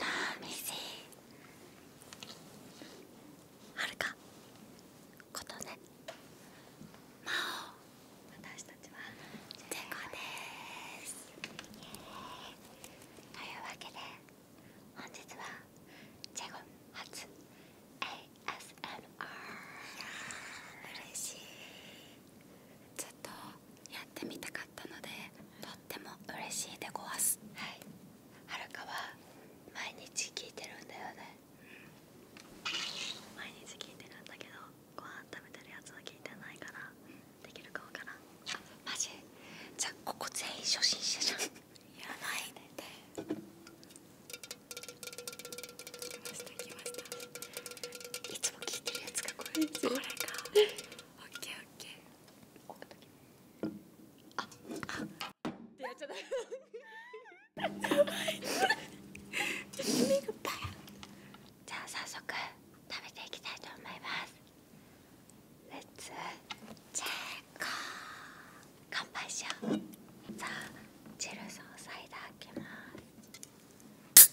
あ、ーメはるかことねまお私たちはというわけで本日はジェゴン初 ASMR いやー嬉しいちっとやってみたかったのでとっても嬉しいでごわすはいはるかは毎日聞いてるんだよね、うん、毎日聞いてるんだけどご飯食べてるやつは聞いてないから、うできるかわからんあマジじゃあここ全員初心者じゃん いらないねできましたできました聞いてるやつがこれこれか OKOK ああってっちゃダメじゃあ早速食べていきたいと思いますレッツチェッカー乾杯しようあチルソーサイダーきます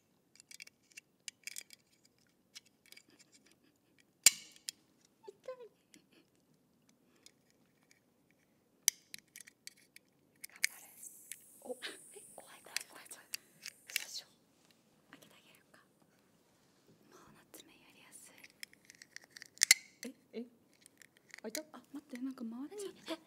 おえ怖い怖い怖い怖い少々開けてあげるかもう夏目やりやすいええ開いたあ待ってなんか回れちゃった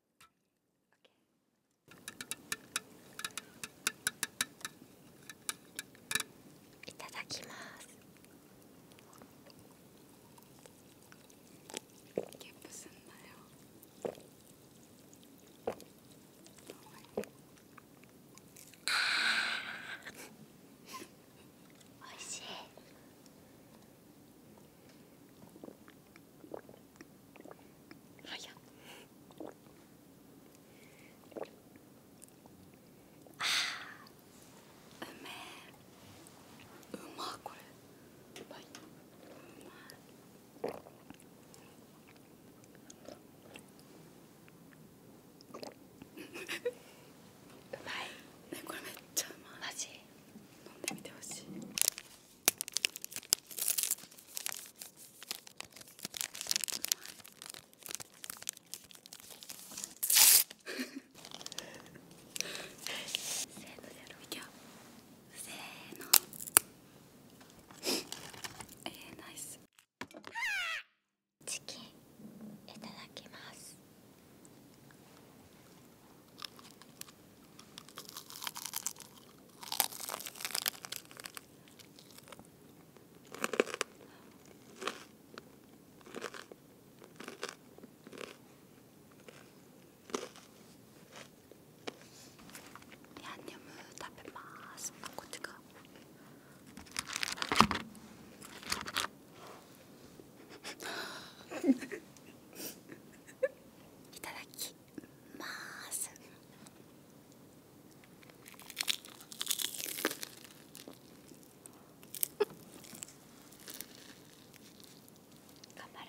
いただきますゲッおいしいあうめえうまこれうまいうまいねこれめっちゃうまいマジ飲んでみてほしいえー、ナチキンいただきますヤンニョム食べますこっちか いただきます頑張れ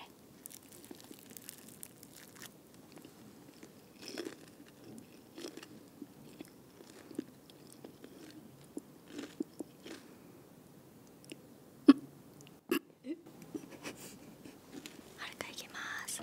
はるかいきます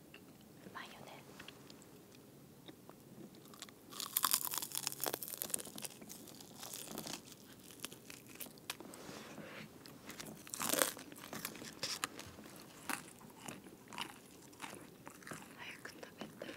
うまいよね早く食べたい。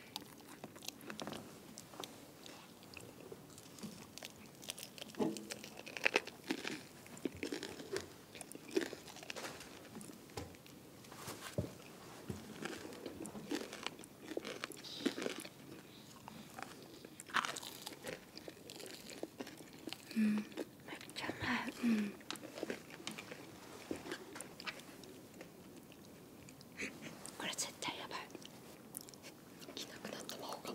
うんめっちゃうまいうんこれ絶対やばい着なくなった魔法が。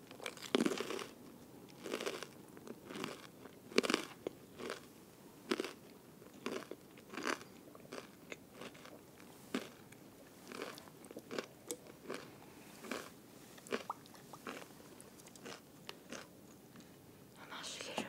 甘すぎる。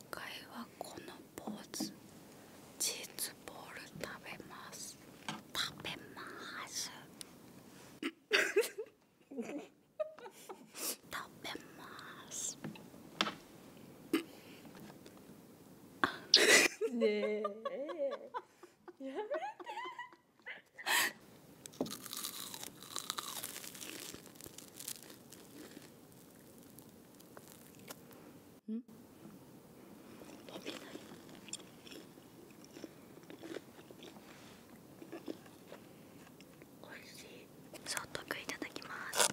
介はこのポーズチーズボール食べます食べます 食べますねえやめてうん伸びないおいしいソフトクいただきます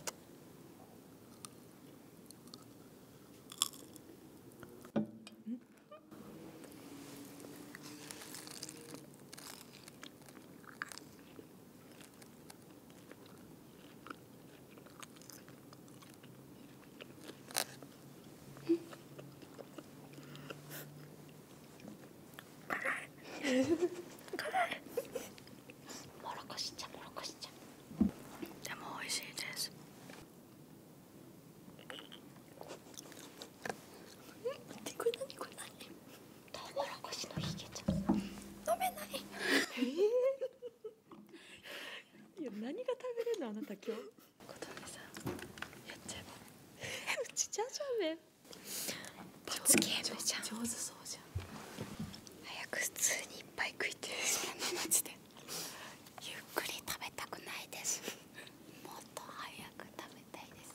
うんもろこし茶もろこし茶でも美味しいですこれ何これ何トウモロコシのひげちゃん飲めない、えー、いや何が食べれるのあなた今日琴音さっちゃえばちゃめ罰ゲゃ上手そうじゃん早く普通にいっぱい食いてゆっくり食べたくないですもっと早く食べたいです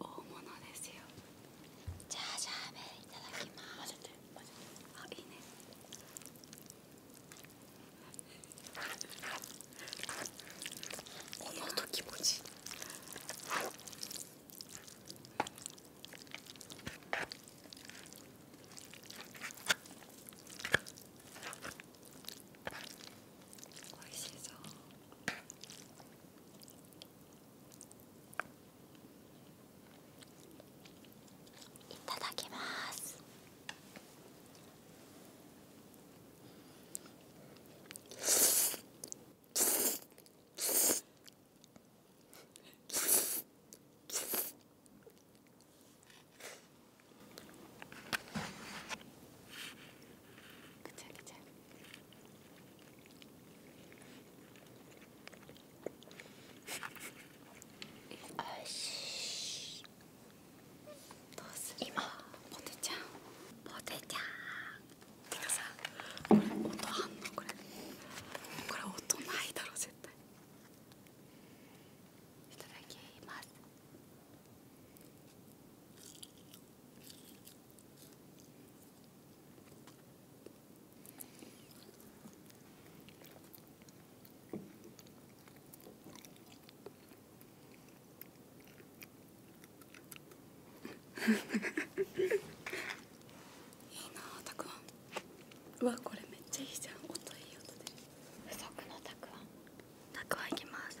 大物ですよじゃあじゃいただきますあいいねこの気持ちいいおいしそう。いただきますちゃぐちゃ。しどうす今ポテちゃんポテちゃんてかさこれ音あんのこれこれ音ないだろ絶対いただきますいいなたくあんわこれめっちゃいいじゃん音いい音で不足のたくあんたくあんいきます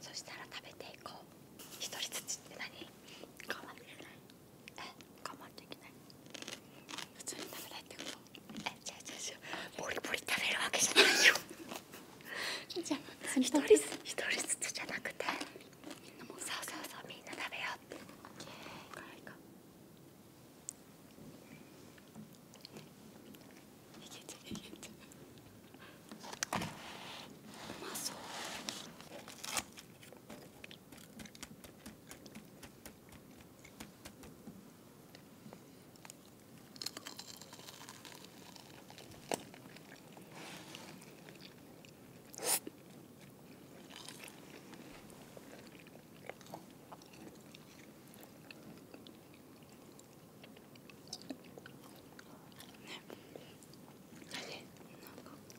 そしたら食べていこう一人ずつって何我慢できない我慢できない普通に食べないってこと違う違う違うボリボリ食べるわけじゃないよじゃあ一人ずつ一人ずつじゃなくてみんなもそうそうそうみんな食べようっていけちゃいけちゃうまそう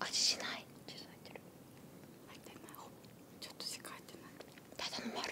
味しないちょっと入ってる入ってないちょっとしか入ってないただの丸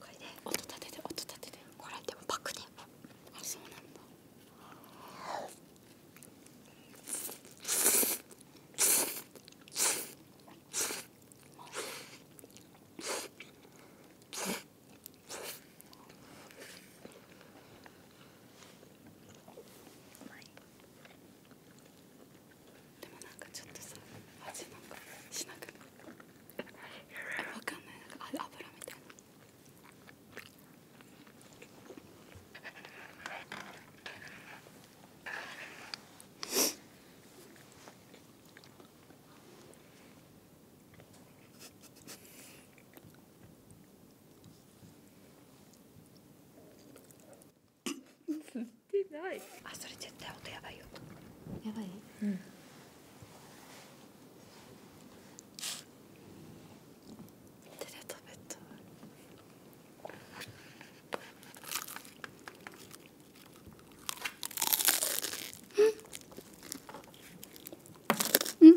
これで音立てて音立ててこれでもパクであそうなんだうでもなんかちょっとさ味なんかしなくない分かんないなんか油みたいなうん、してないあそれ絶対音やばいよやばいうん手で食べたうんうん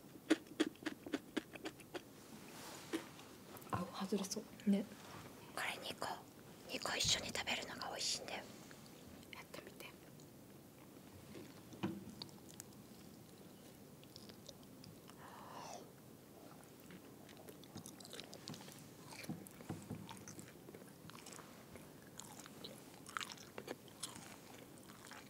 あ外れそうねこれ2個2個一緒に食べるのが美味しいんだよやってみて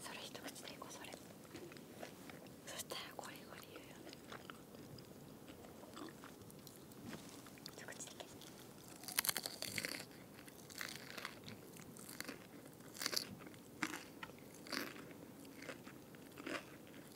それ一口でいこうそれそしたらこれが理由よね一口だけど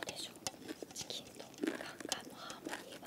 うでしょうチキンとガンガンのハーモニーは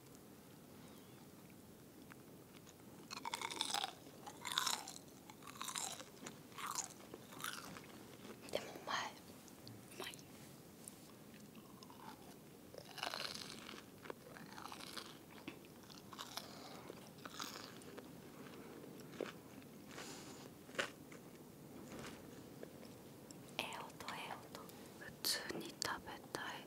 でもうまいうまいええ音ええ音普通に食べたい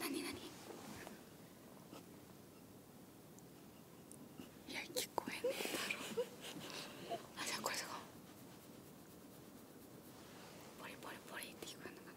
何何いや聞こえねえだろあじゃあこれとかポリポリポリって聞こえるのかな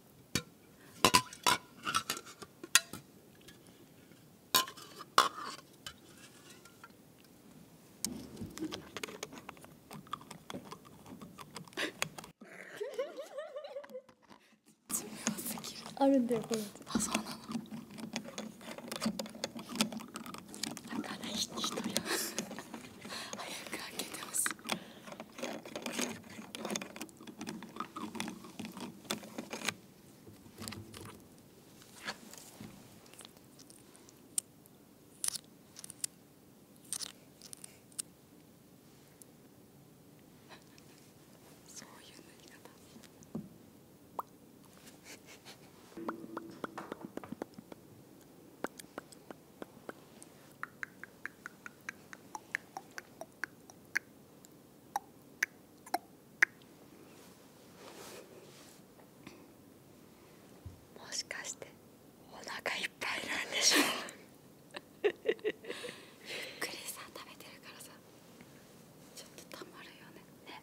あるんだよこれあそうなのだか早く開けてほしそういう塗りもしかしてお腹いっぱいなんでしょうゆっくりさ食べてるからさちょっとたまるよねね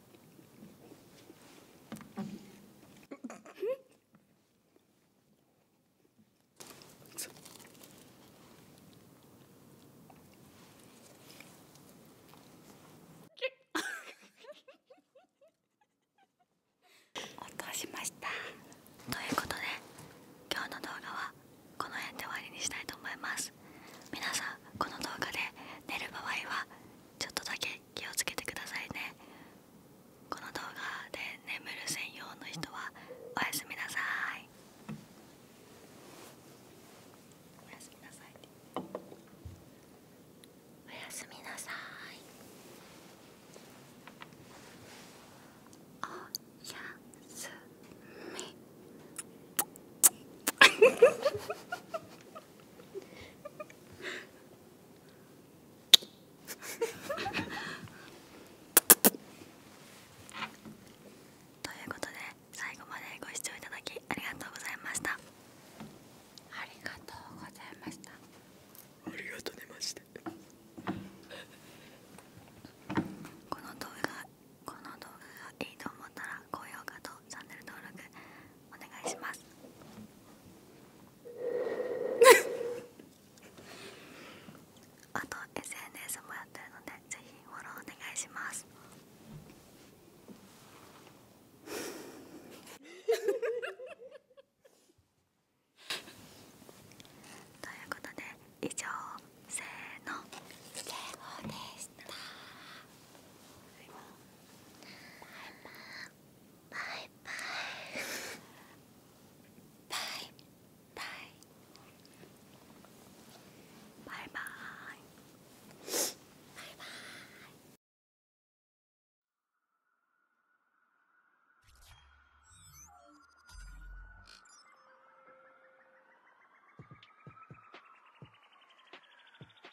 音しましたということで今日の動画はこの辺で終わりにしたいと思います皆さんこの動画で寝る場合はちょっとだけ気をつけてくださいねこの動画で眠る専用の人はおやすみなさいおやすみなさいおやすみなさいおやすみおということで最後までご視聴いただきありがとうございましたありがとうございましたありがとうございましてこの動画この動画がいいと思ったら高評価とチャンネル登録お願いします あと SNS もやってるのでぜひフォローお願いします ということで以上せーの成功でしたバイバイバイバイバイバイ